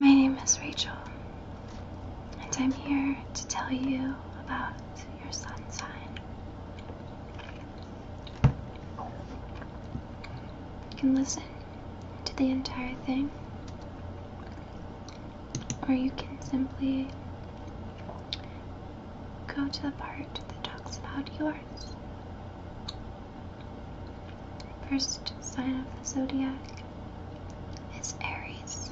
My name is Rachel, and I'm here to tell you about your sun sign. You can listen to the entire thing, or you can simply go to the part that talks about your the first sign of the zodiac is Aries.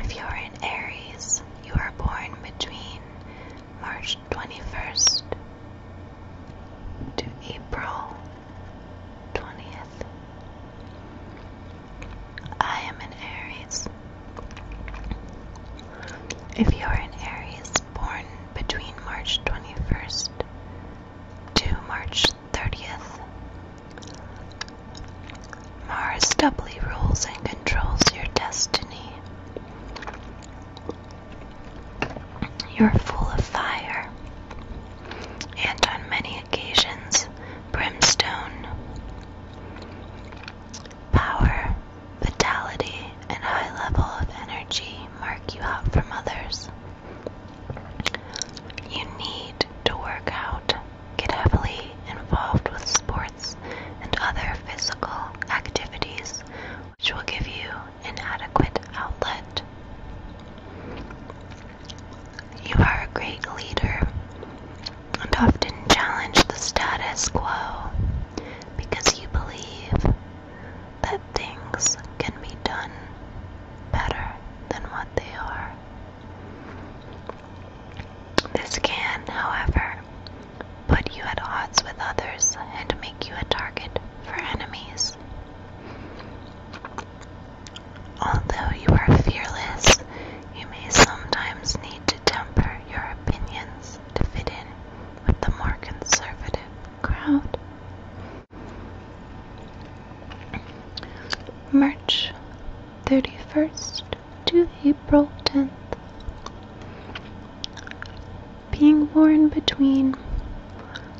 If you're in Aries, you are born between March 21st to April 20th. I am an Aries. If you are an Aries born between March 21st to March 30th, Mars doubly rules and controls your destiny. You're full of fire, and on many occasions, brimstone. Power, vitality, and high level of energy mark you out from others. You need to work out, get heavily involved with sports and other physical activities, which will give you an adequate outlet. You are a great leader and often challenge the status quo because you believe that things can be done better than what they are. This can, however, put you at odds with others and make you a target for enemies. Although you are fearless, you may sometimes need to temper your opinions to fit in with the more conservative crowd. March 31st to April 10th. Being born between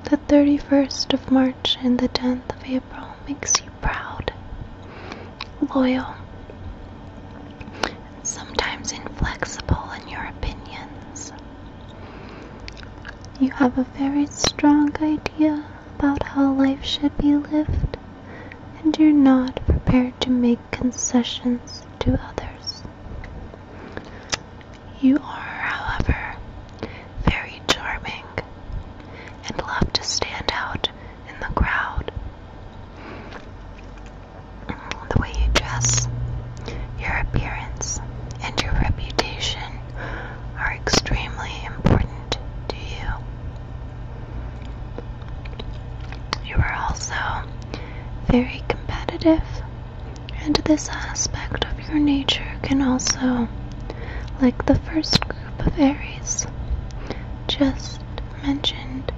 the 31st of March and the 10th of April makes you proud, loyal, and sometimes inflexible in your opinions. You have a very strong idea about how life should be lived, and you're not prepared to make concessions to others. You are, however, very charming, and love to stand out in the crowd. The way you dress, your appearance, and your reputation are extremely important to you. You are also very competitive, and this aspect of your nature can also like the first group of Aries just mentioned,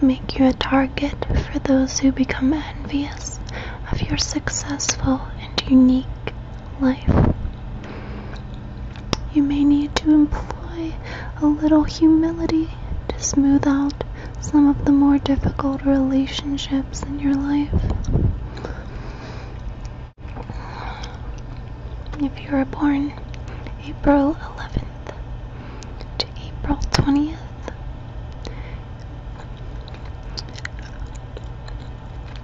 make you a target for those who become envious of your successful and unique life. You may need to employ a little humility to smooth out some of the more difficult relationships in your life. If you were born April 11th to April 20th,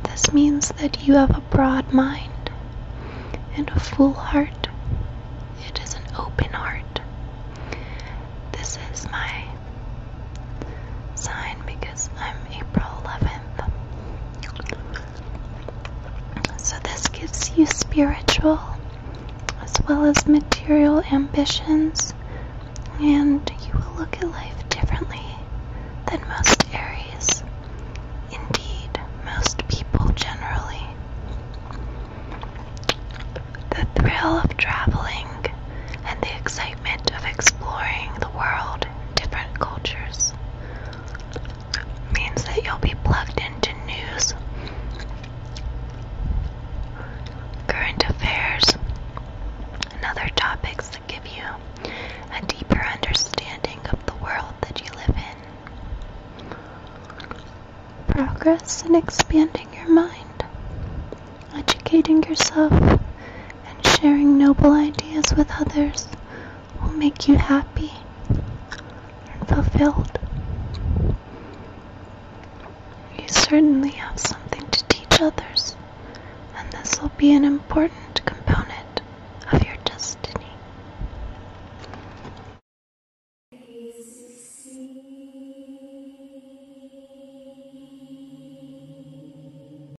this means that you have a broad mind and a full heart. It is an open heart. This is my sign because I'm April 11th. So, this gives you spiritual as well as material ambitions, and you will look at life differently than most Aries. Indeed, most people generally. The thrill of traveling and the excitement of exploring the world, different cultures, means that you'll be plugged into news, current affairs, and other topics that give you a deeper understanding of the world that you live in. Progress in expanding your mind, educating yourself, and sharing noble ideas with others will make you happy and fulfilled. You certainly have something to teach others, and this will be an important component of your destiny.